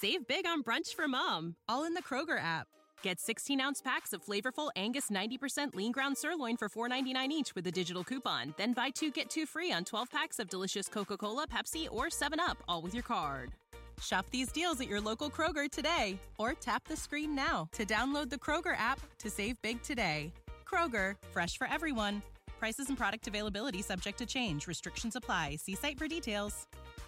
Save big on brunch for mom, all in the Kroger app. Get 16 ounce packs of flavorful Angus 90% lean ground sirloin for $4.99 each with a digital coupon. Then buy two get two free on 12 packs of delicious Coca Cola, Pepsi, or 7UP, all with your card. Shop these deals at your local Kroger today or tap the screen now to download the Kroger app to save big today. Kroger, fresh for everyone. Prices and product availability subject to change. Restrictions apply. See site for details.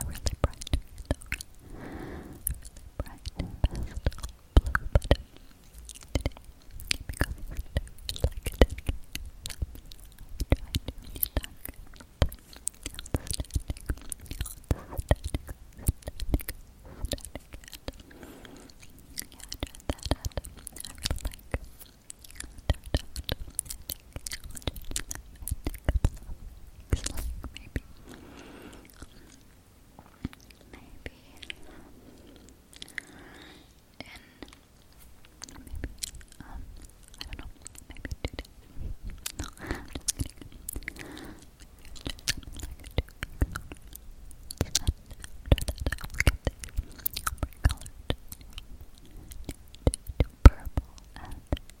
a really bright, bright pastel blue, but today, because I really like it, I tried to really like it. Static, static, static, static, and yeah, I tried that and I really like it. Turned out, I think I'll just, I think a couple of weeks, like maybe Maybe in maybe um I don't know, maybe two No, just kidding. after that I'll get the colored to purple and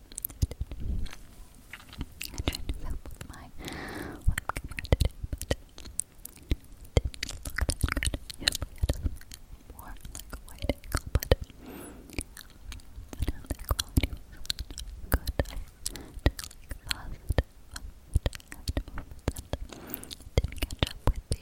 I tried to film with my web but didn't look that good. Usually I just more like a white angle, but I good. I just didn't catch up with the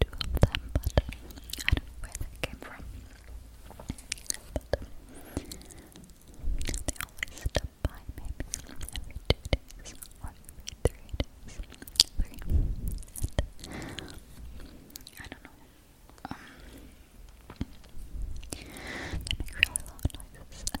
two of them, but um, I don't know where they came from. But um, they always stop by maybe every um, I don't know. Um, they make really loud noises oh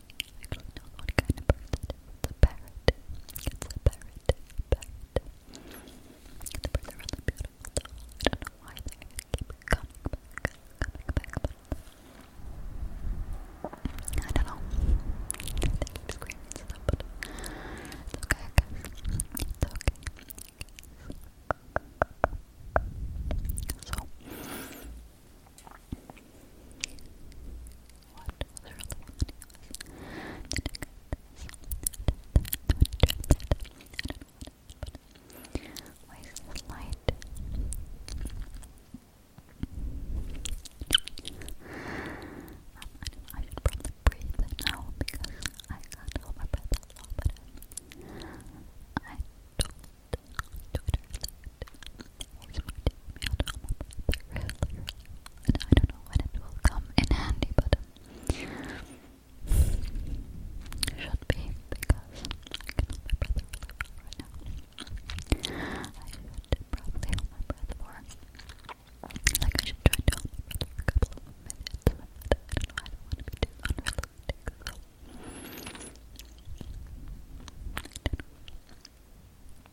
I don't know what kind of bird that is. It's a parrot. It's a parrot. Parrot. The birds are really beautiful though. I don't know why they keep coming back, coming back, I don't know. They keep it's okay, It's okay. Why is this light? I, should probably breathe now because I can't my breath that long, but I told Twitter Here's my I don't know when it will come in handy, but um, should be because I can hold my brother right now. I should probably hold my more. Like I should try to hold my for a couple of minutes. I don't know. I don't to be too unrealistic. So. I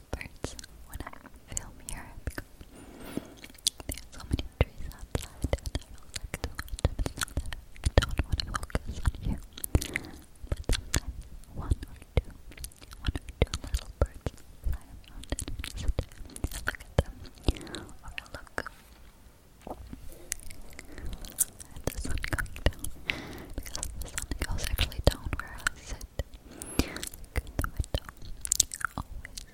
the birds when film here because there so many trees outside and I don't want to focus on you, but sometimes one little birds fly around look at them or look at the sun going down because the sun goes actually down where I sit. Like the window always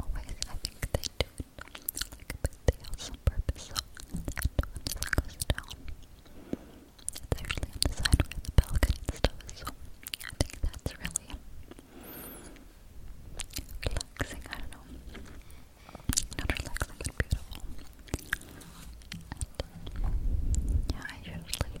always, I think they do they have some purpose, so the end goes down. It's actually on the side where the balcony stuff so I think that's really relaxing, I don't know. Not relaxing, but beautiful. yeah, I usually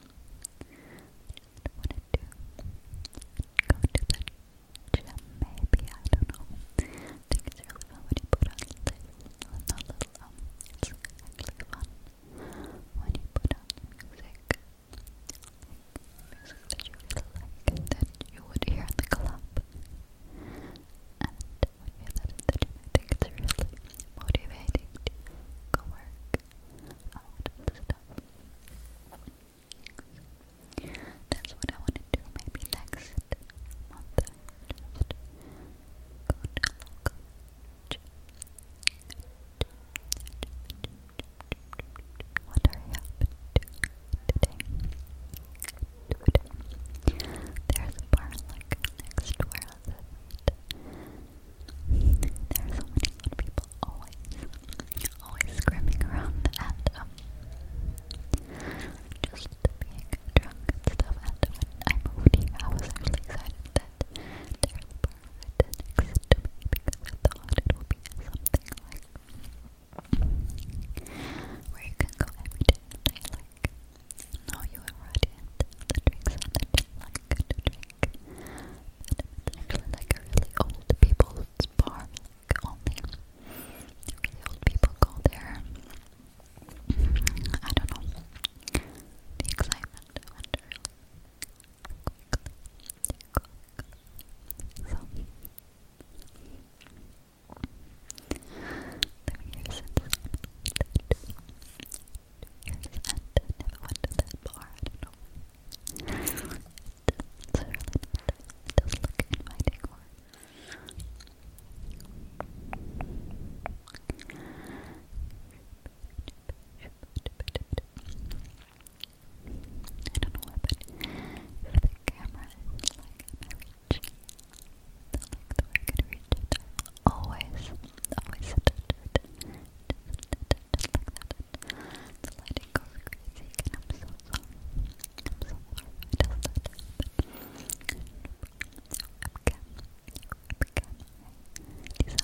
I just wanted to go to the maybe, I don't know. think it's really fun when you put on little, not little, um, it's actually fun when you put on music, music that you really like, that you would hear in the club. And when that in the think it's really motivating to go work out and stuff. That's what I want to do. Maybe next month, just go to local gym. What are you up to today? Today, there's a bar like next to where I live. There are so many old people always, always screaming around and um, just being drunk and stuff. And I moved here, I was actually excited that there's a bar right because I thought it would be something like where you can go every day like know you already and the drinks and the like actually like a really old people's bar. only really old people go there. I don't know. The excitement went really So, living here since years and never went to that bar, I don't know why. It's, it's really not, doesn't look inviting or... I don't know what, but the camera like in my reach, then like the way I it, always, always the lighting goes crazy I'm so sorry. I'm so sorry I just let it happen. Webcam, decided to camcorder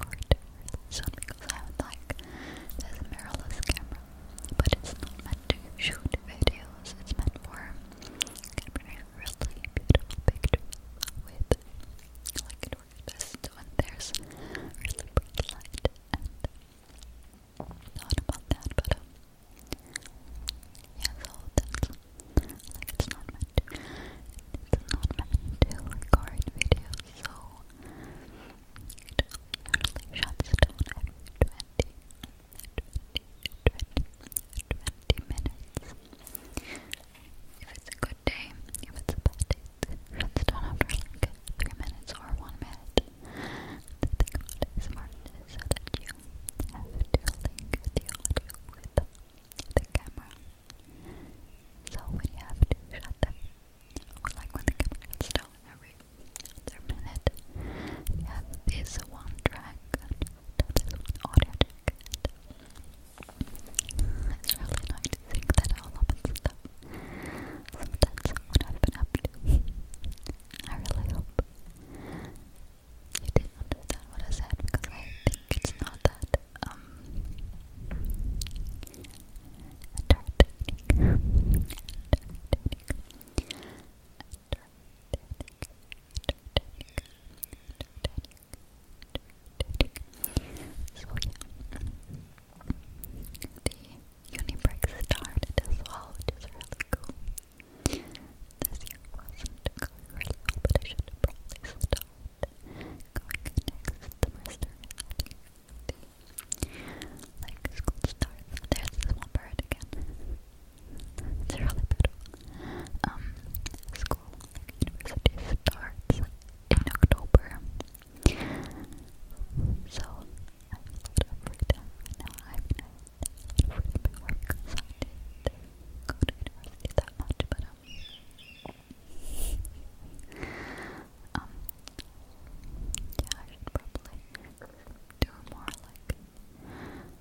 or because I would like this mirrorless camera, but it's not meant to shoot videos, it's meant for really beautiful picture with like an orchestra and there's really bright light and not about that but um, yeah so that's like it's not meant to it's not meant to record videos so it usually shuts down after 20 minutes if it's a good day, if it's a bad day, it runs down after like three minutes or one minute. The thing about it is so that you have to link the audio with the camera. So when you have to shut them, like when the camera gets down every other minute, you have this one track that is audio Good. It's really nice to think that all up and stuff. Sometimes what I've been up to. I really hope you did understand what I said because I think it's not that so yeah, the Unibreak started as well, which really cool. This year wasn't going really well, but I should probably start going next semester. The, like school starts. There's this one bird again. It's really um, school, university starts in October. So, I have a lot of freedom now. I mean, I have freedom at work, so I that much, but um, um, yeah, I should probably do more like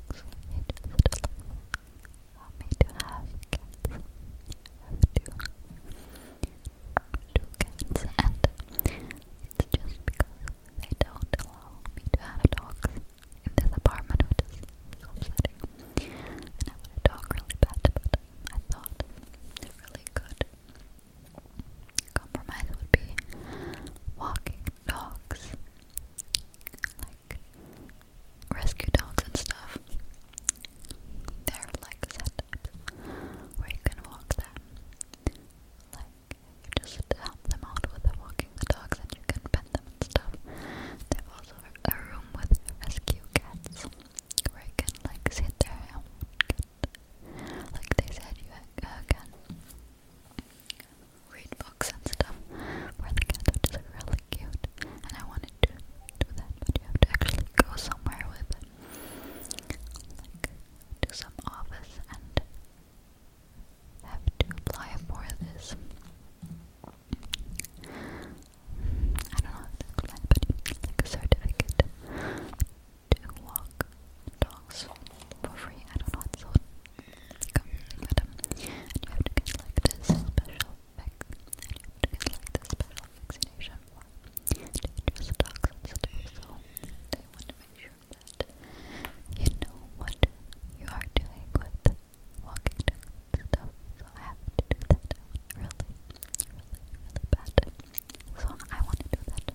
dogs need to sit me to have cats? I have two. Two cats, and it's just because they don't allow me to have dogs in this apartment, which is so upsetting. And I a dog really bad, but I thought a really good compromise would be walking dogs like rescue dogs and stuff. They're like setups where you can walk them. Like you just help them out with the walking the dogs and you can pet them and stuff. they also a room with rescue cats where can like sit there and get like they said you uh, can read books and stuff for the kids, which is really cute. And I wanted to do that, but you have to actually go somewhere with it. Like, to some office and have to apply for this. I don't know how to explain it, but it's like a certificate to walk dogs for free. I don't know, it's so and you have to get like this special fix, you have to get like this special vaccination form. Dangerous toxins to your soul. They want to make sure that you know what you are doing with walking down stuff. So I have to do that really, really bad. So I want to do that.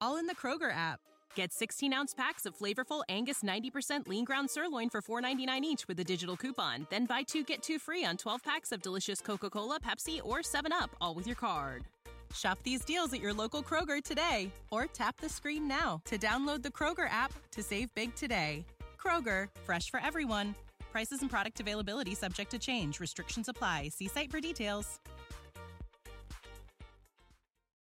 all in the Kroger app. Get 16 ounce packs of flavorful Angus 90% lean ground sirloin for $4.99 each with a digital coupon. Then buy two get two free on 12 packs of delicious Coca Cola, Pepsi, or 7UP, all with your card. Shop these deals at your local Kroger today or tap the screen now to download the Kroger app to save big today. Kroger, fresh for everyone. Prices and product availability subject to change. Restrictions apply. See site for details.